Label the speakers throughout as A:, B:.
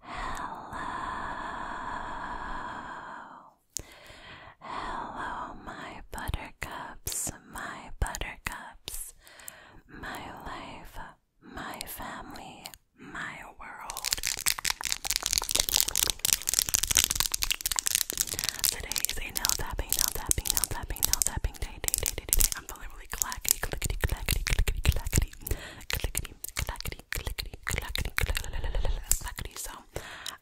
A: Hello. Hello, my buttercups, my buttercups, my life, my family, my world. Today is a nail tapping, nail tapping, nail tapping, nail tapping day, day, day, day, day really clackety, clickety, clackety, clickety, clackety, clickety, clackety, clickety, clackety, clackety. So,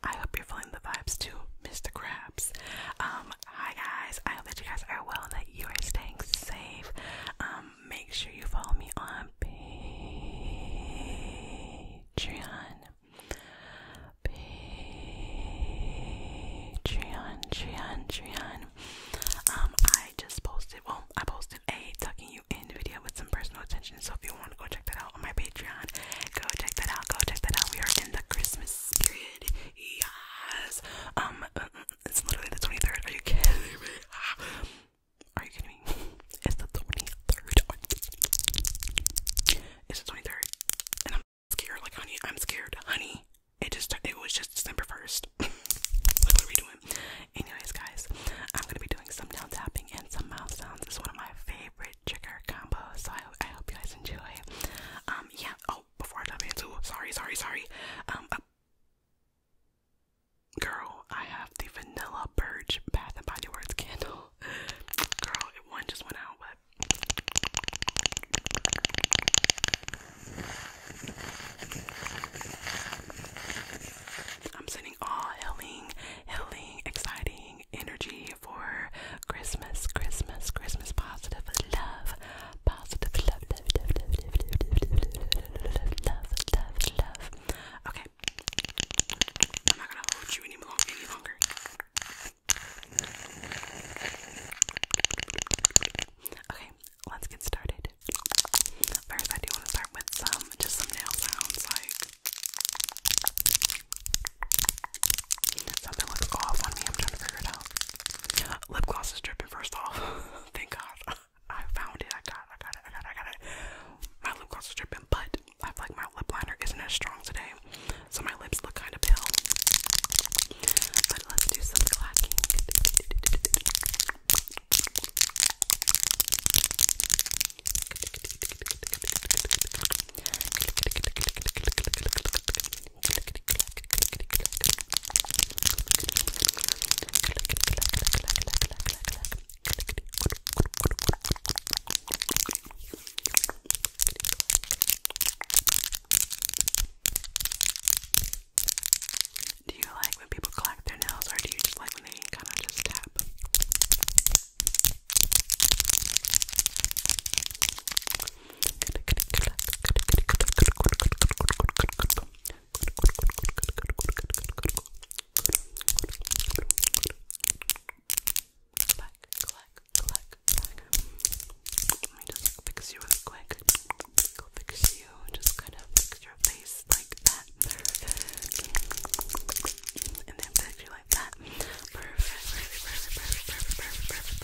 A: I hope you're feeling the vibes too, Mr. Krabs. Um, hi guys, I hope that you guys are well and that you are staying safe. Um, make sure you follow me on Patreon. Patreon, Patreon, Patreon. Um, I just posted, well, I posted a tucking you in video with some personal attention. So if you want to go check that out on my Patreon, go check that out. Go check that out. We are in the Christmas spirit. Yes. Um, uh, uh, it's literally the 23rd. Are you kidding me? Are you kidding me? It's the 23rd. It's the 23rd. And I'm scared. Like, honey, I'm scared. Honey, it just it was just December first. what are we doing? Anyways, guys, I'm gonna be doing some mouth tapping and some mouth sounds. It's one of my favorite trigger combos, so I, I hope you guys enjoy. Um, yeah. Oh, before I dive into, sorry, sorry, sorry. Um, uh, girl, I have the vanilla purge Bath and Body Works candle. Girl, one just went out, but I'm sending all healing, healing, exciting energy for Christmas, Christmas, Christmas. Positive love, positive love, love, love, love, love, love, love, love, love, Okay, I'm not gonna hold you any any longer. Okay, let's get started. First, I do want to start with some, just some nail sounds, like something looks off on me. I'm trying to figure it out. Lip gloss is dripping. First off, thank God I found it, I got it, I got it, I got it. My lip gloss is dripping, but I feel like my lip liner isn't as strong today, so my lips look kind of pale. But let's do some clacking. Do you like when people collect their nails or do you just like when they kind of just tap? Collect, collect, let me just fix you really quick. Go fix you. Just kind of fix your face like that. Perfect. And then fix you like that. Perfect, perfect, perfect, perfect, perfect, perfect, perfect,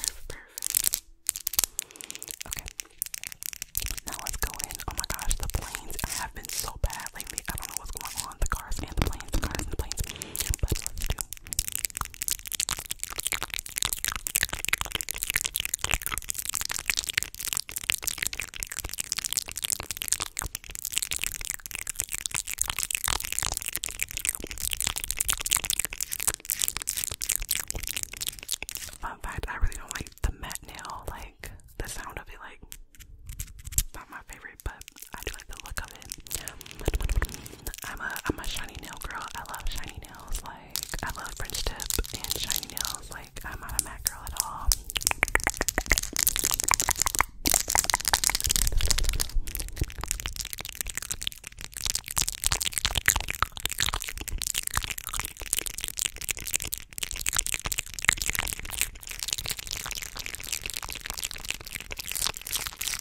A: perfect, Okay. Now let's go in. Oh my gosh, the planes have been so bad lately. I don't know what's going on. The cars and the planes, cars and planes. Fun fact, I really don't like the met nail, like the sound of it, like not my favorite, but I do like the look of it. I'm a I'm a shiny nail girl. I love shiny nails. Like I love French tip and shiny nails. Like I'm not a matte girl at all.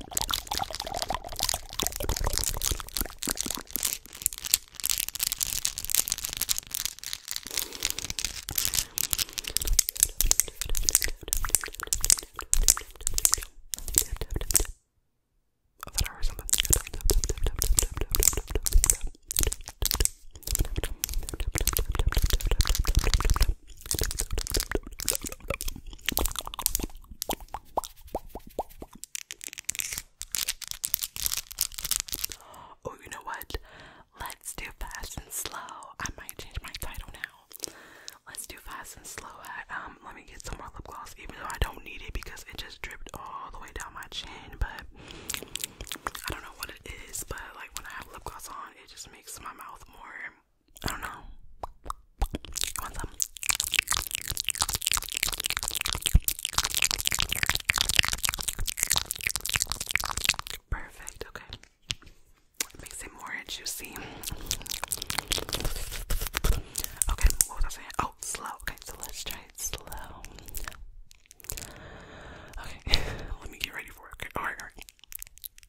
A: that or something. Oh, you know what? Let's do fast and slow. I might change my title now. Let's do fast and slow. Um, let me get some more lip gloss, even though I don't need it because it just dripped all the way down my chin. But I don't know what it is, but like when I have lip gloss on, it just makes my mouth more I don't know. want some. Perfect, okay. makes it more juicy. Okay, what was I saying? Oh, slow. Okay, so let's try it slow. Okay, let me get ready for it. Okay, alright.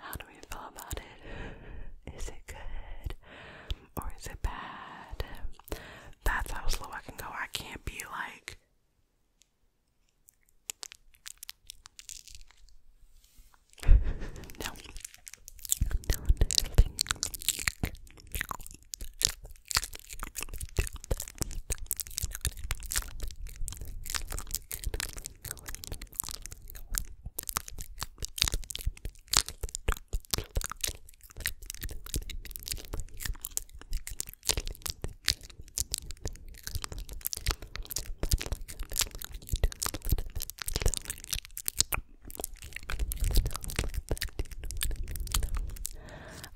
A: How do we feel about it? Is it good or is it bad? That's how slow I can go. I can't be like. no. No,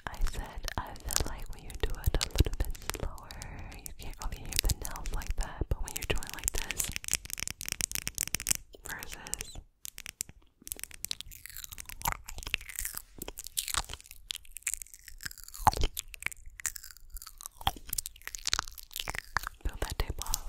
A: I said I feel like you do it a little bit slower, you can't really hear the nails like that, but when you're doing like this versus Peel that tape off,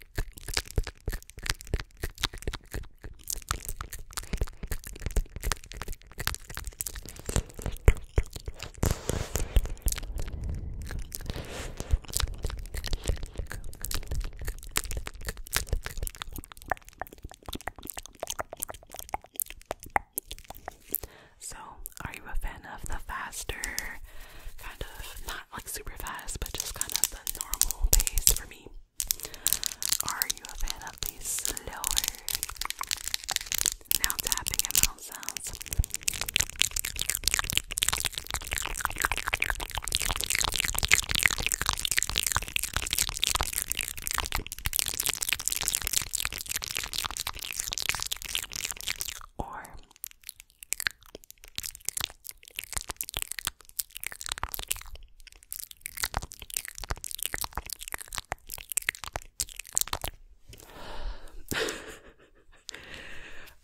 A: So, are you a fan of the faster, kind of like super fast, but just kind of the normal pace for me. Are you a fan of the slower? Now tapping and mouth sounds. Or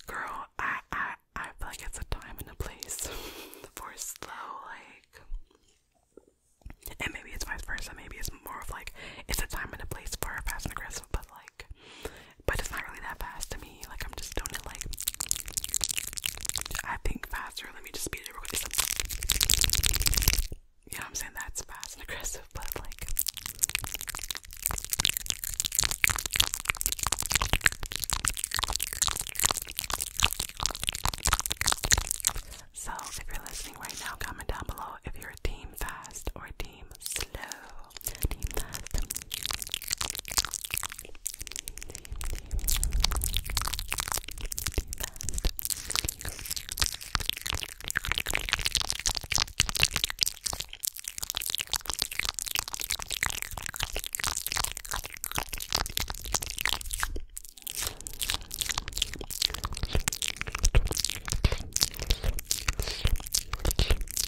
A: Girl, I I I feel like it's a time and a place for slow like and maybe it's vice versa, maybe it's more of like it's a time and a place for fast and aggressive, but like but it's not really that fast to me. Like I'm just doing like I think faster. Let me just speed real You know what I'm saying? That's fast and aggressive, but like so if you're listening right now, comment down below if you're a team fast or a Team slow. Team fast. Team, team, team. Team fast.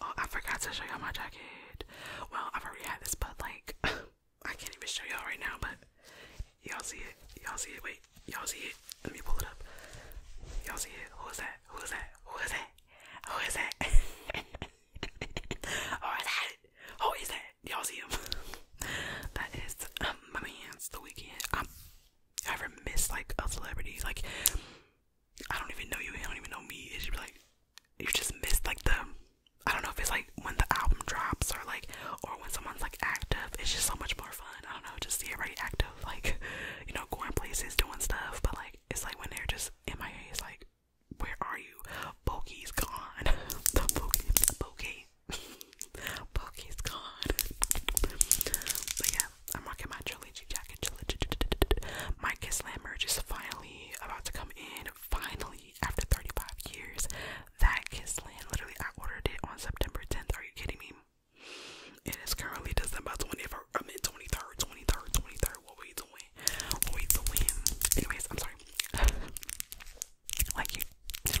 A: Oh, I forgot to show y'all my jacket. Well, I've already had this, but like, I can't even show y'all right now, but y'all see it. Y'all see it. Wait, y'all see it. Let me pull it up. Y'all see it. Who is that? Who is that? Who is that? Who is that? Who is that? Who is that? Y'all see him. that is um, my The Weeknd. I ever miss like a celebrity? Like I don't even know you. I don't even know me. It's just like you just miss like the. I don't know if it's like when the album drops or like or when someone's like active. It's just so much more fun. I don't know. Just see everybody active, like you know, going places, doing stuff. But like it's like when they're just MIA. It's like where are you? Bokeh's gone. the bokeh, the bokeh. Pokey's gone. but yeah, I'm rocking my trilogy jacket. Trilogy. My Kiss Land merch is finally about to come in. Finally, after 35 years, that Kiss Land literally I ordered it on September 10th. Are you kidding me? It is currently December 24th. I mean 23rd, 23rd, 23rd. What are we doing? What are we doing? Anyways, I'm sorry. Like you, you know.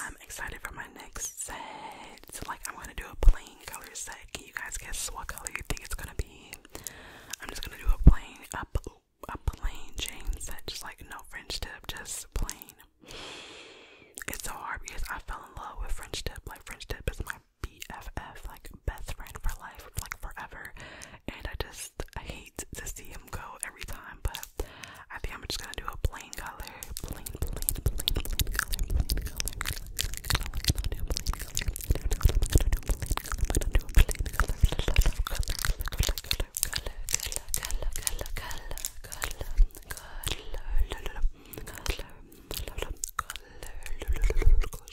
A: I'm excited for my next set. So like I'm gonna do a plain color set. Can you guys guess what color you think it's gonna be? I'm just gonna do a plain a, a plain chain set, just like no French tip, just plain. It's so hard because I fell in love with French tip. Like French tip is my BFF, like best friend for life, like forever. And I just I hate to see him go every time, but I think I'm just gonna do a plain color. Plain, plain, plain, plain color, plain color. I'm gonna plain color. I'm gonna plain color. I'm plain color. Close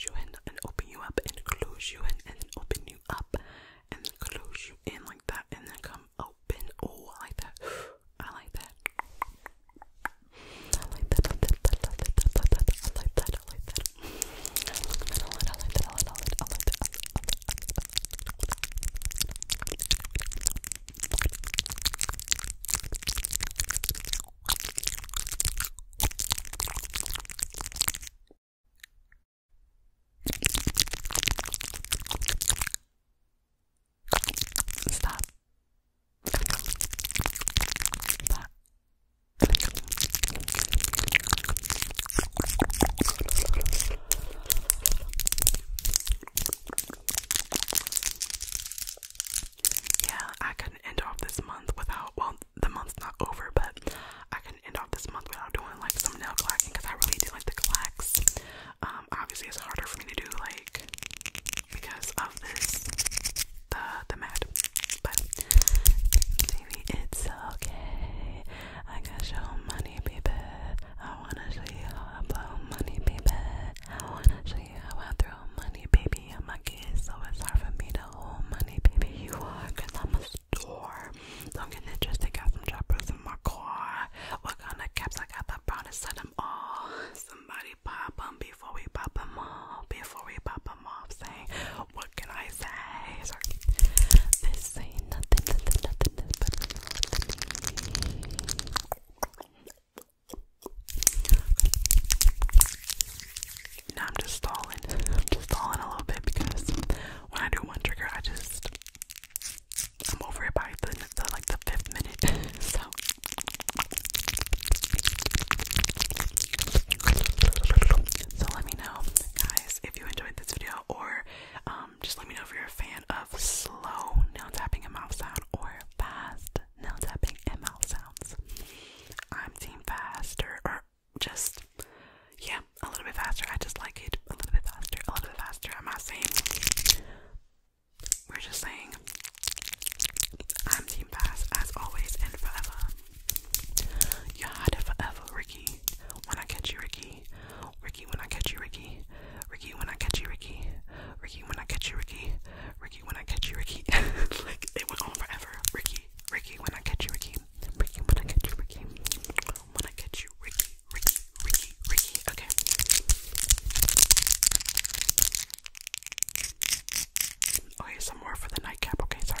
A: you in and open you up and close you in and open you up and close you in like that and then come open oh like that I like that. I like that. I like that. I like that. I like that. I like that. I like that. I like that. I like that. Stop. Yeah, I couldn't end off this month without, well, the month's not over, but I couldn't end off this month without doing like some nail clacking because I really do like the clacks. Um, obviously, it's harder for me to do like because of this the the mat, but it's okay. I got show money, baby. I wanna show you how I blow money, baby. I wanna show you how I throw money, baby. I'm a kid, so it's hard for me to hold money, baby. You are, i I'm a store. Don't get it twisted, got some choppers in my car. What kind of caps I got? Pepperoni set them all. Somebody pop them before we pop them all. Before we pop them off, saying, What can I say? Sorry. This ain't nothing, nothing, nothing, nothing now I'm just stalling. I'm just stalling a little bit because when I do one trigger, I just I'm over it by the, like the fifth minute. so so let me know, guys, if you enjoyed this video, or um, just let me know if you're a fan of slow nail tapping and mouth or fast nail tapping and sounds. I'm team faster, or just yeah, a little bit faster. I just like it a little bit faster, a little bit faster. I'm not saying. We're just saying. I'm Team Fast as always and forever. You had it forever, Ricky. When I catch you, Ricky. Ricky, when I catch you, Ricky. Ricky, when I catch you, Ricky. Ricky, when I catch you, Ricky. Ricky, when I catch you, Ricky. like it went on forever. Ricky, Ricky, when I catch you, Ricky. Ricky, when I catch you, Ricky. When I catch you, Ricky. Ricky, Ricky, Ricky. Okay. Okay, some more for the nightcap. Okay, sorry.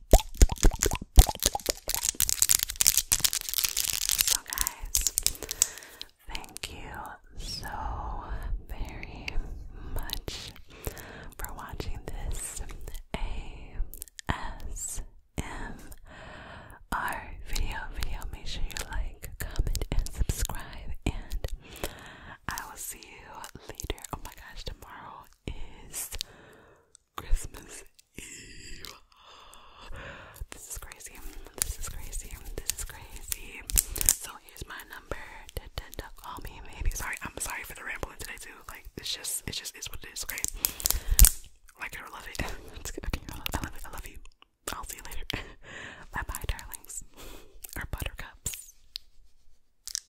A: So, guys, thank you so very much for watching this ASMR video. Video, make sure you like, comment, and subscribe. And I will see you later. Oh my gosh, tomorrow is Christmas Eve. This is crazy. This is crazy. This is crazy. So here's my number. call me, maybe. Sorry, I'm sorry for the rambling today too. Like it's just, it's just, it's what it is. Okay. Like love it. Okay, I love, it. I love you. I'll see you later. bye, bye, darlings. Or buttercups.